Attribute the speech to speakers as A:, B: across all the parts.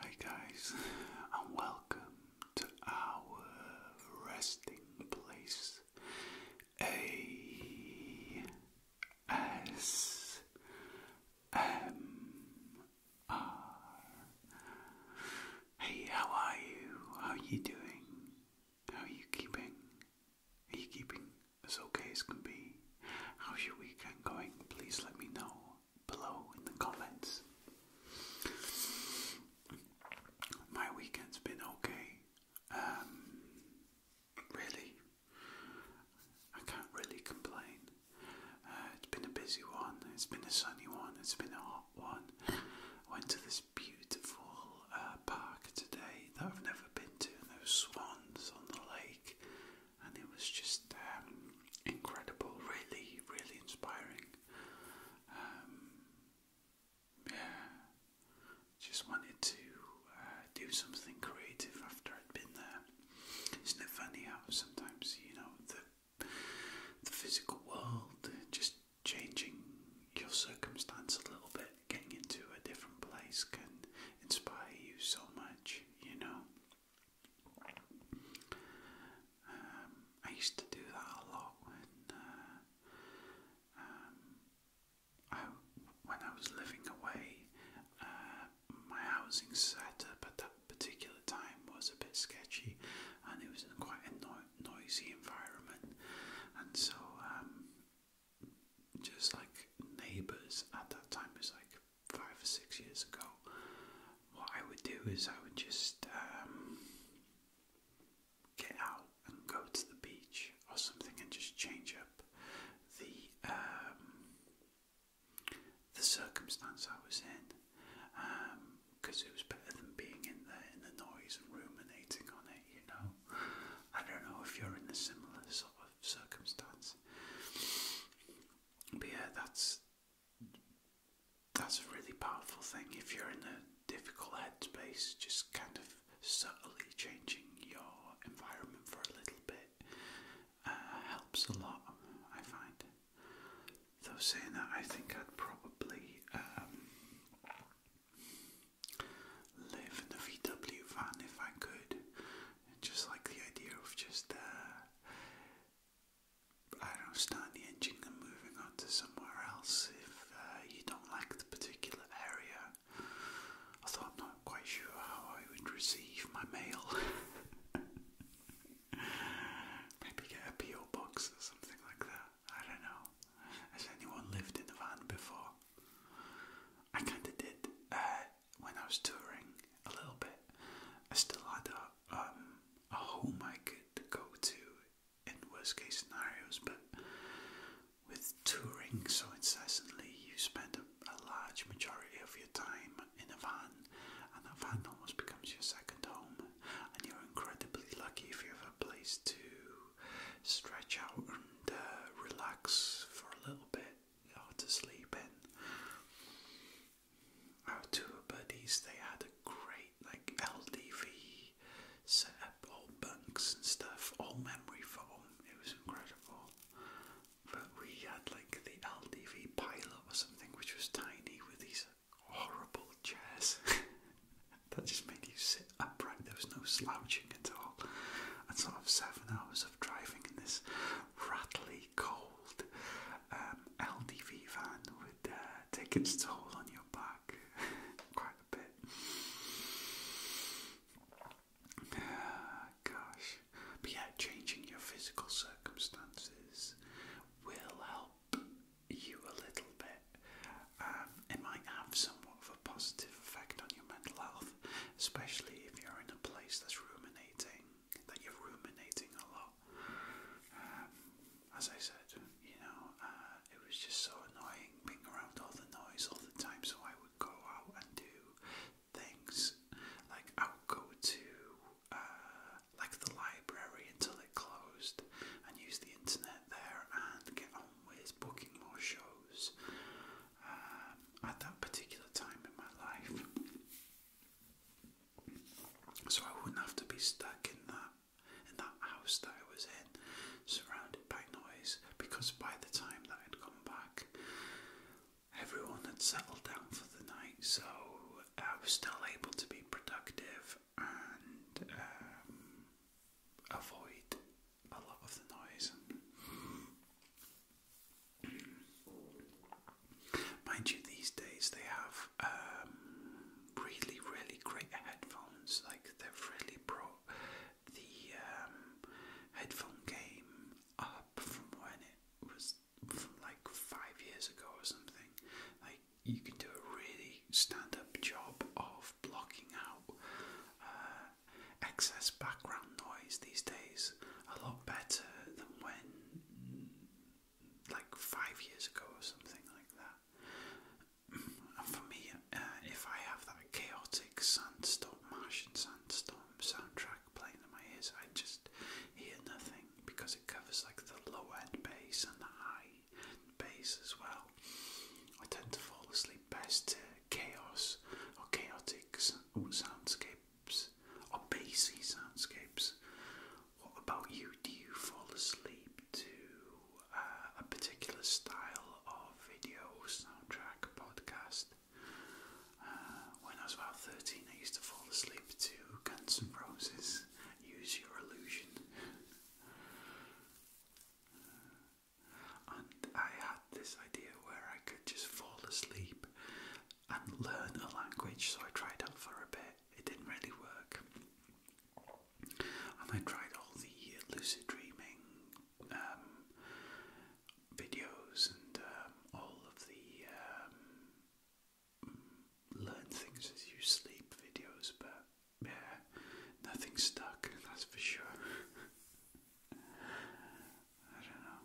A: Hi guys, and welcome to our resting place. A S M R. Hey, how are you? How are you doing? How are you keeping? Are you keeping as okay as can be. How's your weekend going? Please let me know below in the comments. My weekend's been okay. Um, really, I can't really complain. Uh, it's been a busy one, it's been a sunny one, it's been a hot one. went to this beautiful uh, park today that I've never been to, and there were swans on the lake, and it was just um, incredible, really, really inspiring. Um, yeah, just wanted to uh, do something creative after I'd been there. Isn't it funny how sometimes you know the the physical world just changing your circumstance a little bit, getting into a different place can inspire you so much, you know. Um, I used to do that a lot when uh, um, I, when I was living away. Uh, my housing setup at that particular time was a bit sketchy, and it was quite a noisy environment, and so um, just like neighbours at that time it's like five or six years ago. What I would do is I would just um, get out and go to the beach or something and just change up the um, the circumstance I was in because um, it was better than being in there in the noise and ruminating on it, you know. I don't know if you're in a similar sort of circumstance. But yeah, that's that's a really powerful thing. If you're in a difficult headspace, just kind of subtly changing your environment for a little bit uh, helps a lot. I find. Though saying that, I think I'd probably um, live in the VW van if I could. just like the idea of just, uh, I don't know, the engine and moving on to somewhere else if uh, you don't like the particular area. Although I'm not quite sure how I would receive my mail. Maybe get a PO box or something like that. I don't know. Has anyone lived in a van before? I kind of did uh, when I was touring a little bit. I still had a, um, a home I could go to in worst case scenarios, but with touring so incessantly, you spend a, large majority of your time in a van, and that van almost becomes your second home, and you're incredibly lucky if you have a place to stretch out and uh, relax for a little bit, or to sleep in. Our two buddies, they had a great like LDV setup, all bunks and stuff, all memory foam. It was incredible. But we had like the LDV pilot or something, which was tiny with these horrible chairs that just made you sit upright. There was no slouching at all, and sort of seven hours of driving in this rattly, cold um, LDV van with uh, tickets to hold on your back quite a bit. gosh, but yeah, changing your physical circumstances will help you a little bit. Um, it might have somewhat of a positive effect on your mental health, especially if you're in a place that's ruminating, that you're ruminating a lot. Um, as I said, you know, uh, it was just so annoying being around all the noise all the time, so I would go out and do things. Like, I will go to uh, like the library until it closed and use the internet there and get on with booking more shows um, at that particular time in my life. So I wouldn't have to be stuck in that in that house that I was in, surrounded by noise, because by the time that I'd come back, everyone had settled down for the night, so I was still able to be productive and um, avoid a lot of the noise. Mind you, these days they have um, really, really great headphones. Like they've really brought the um, headphone game up from when it was like five years ago or something. Like you can do a really stand up job of blocking out uh, excess background noise these days a lot better than when, like, five years ago or something like that. And for me, uh, if I have that chaotic sandstorm, Martian sandstorm soundtrack playing in my ears, I just hear nothing because it covers like the low end bass and the high end bass as well. I tend to fall asleep best to chaos or chaotic soundscapes or bassy soundscapes. What about you? Do you fall asleep to uh, a particular style of video, soundtrack, podcast? Uh, when I was about 13, I used to fall asleep to Guns and Roses. Use your illusion. And I had this idea where I could just fall asleep and learn a language, so I tried that for a bit. It didn't really work. And I tried all the lucid dreaming um, videos and um, all of the um, learn things as you sleep videos, but yeah, nothing stuck, that's for sure. I don't know.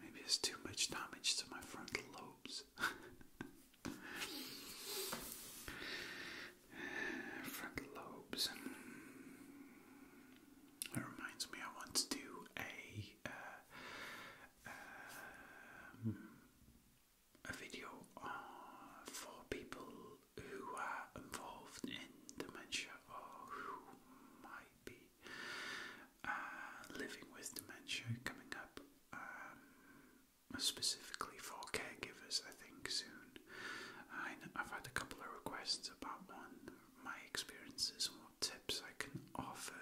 A: Maybe it's too much damage to my frontal lobes. frontal lobes. It reminds me, I want to do a uh, a video for people who are involved in dementia or who might be uh, living with dementia coming up, um, specifically for caregivers, I think, soon. I, have had a couple of requests about one, my experiences, tips I can offer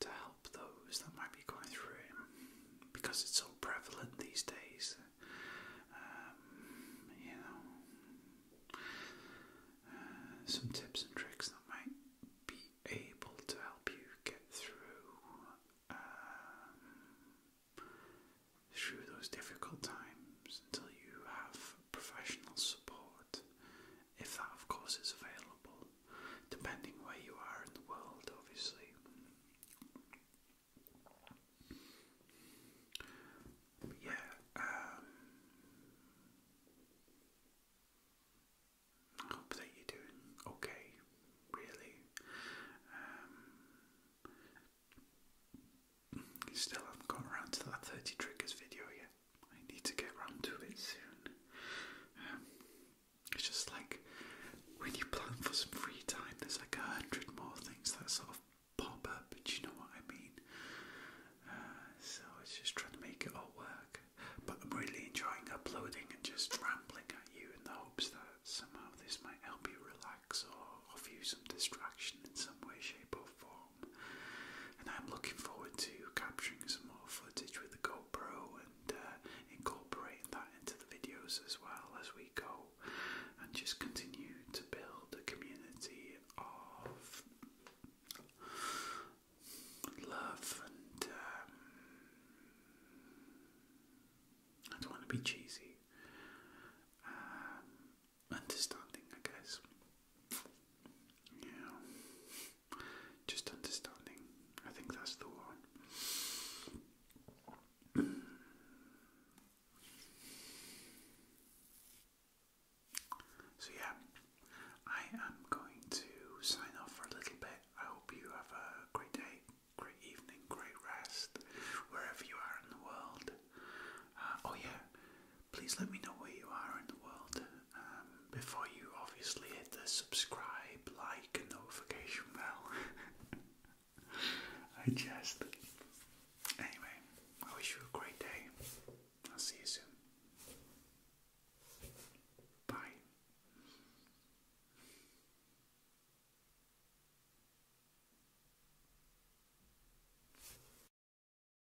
A: to help those that might be going through it because it's so prevalent these days. Um, you know, uh, some tips and tricks that might be able to help you get through um, through those difficult times until you have professional support if that, of course, is available, depending where you are in the world, obviously. yeah, um, I hope that you're doing okay, really. Um, still haven't got around to that 30 triggers video yet. I need to get around to it soon. Um, it's just like when you plan for some free time, there's like a hundred more things that sort of pop up, but you know what I mean. Uh, so it's just trying to make it all work. But I'm really enjoying uploading and just rambling at you in the hopes that somehow this might help you relax or offer you some distraction in some way, shape, or form and I'm looking forward to capturing some more footage with the GoPro and uh, incorporating that into the videos as well as we go, and just continue to build a community of love and. Um, I don't want to be cheesy. Um, understanding, I guess. Yeah just understanding. I think that's the one. so, yeah, I am going to sign off for a little bit. I hope you have a great day, great evening, great rest, wherever you are in the world. Uh, oh, yeah, please let me know where you are in the world um, before you obviously hit the subscribe, like, and notification bell. I just. Anyway, I wish you a great day. I'll see you soon. Bye.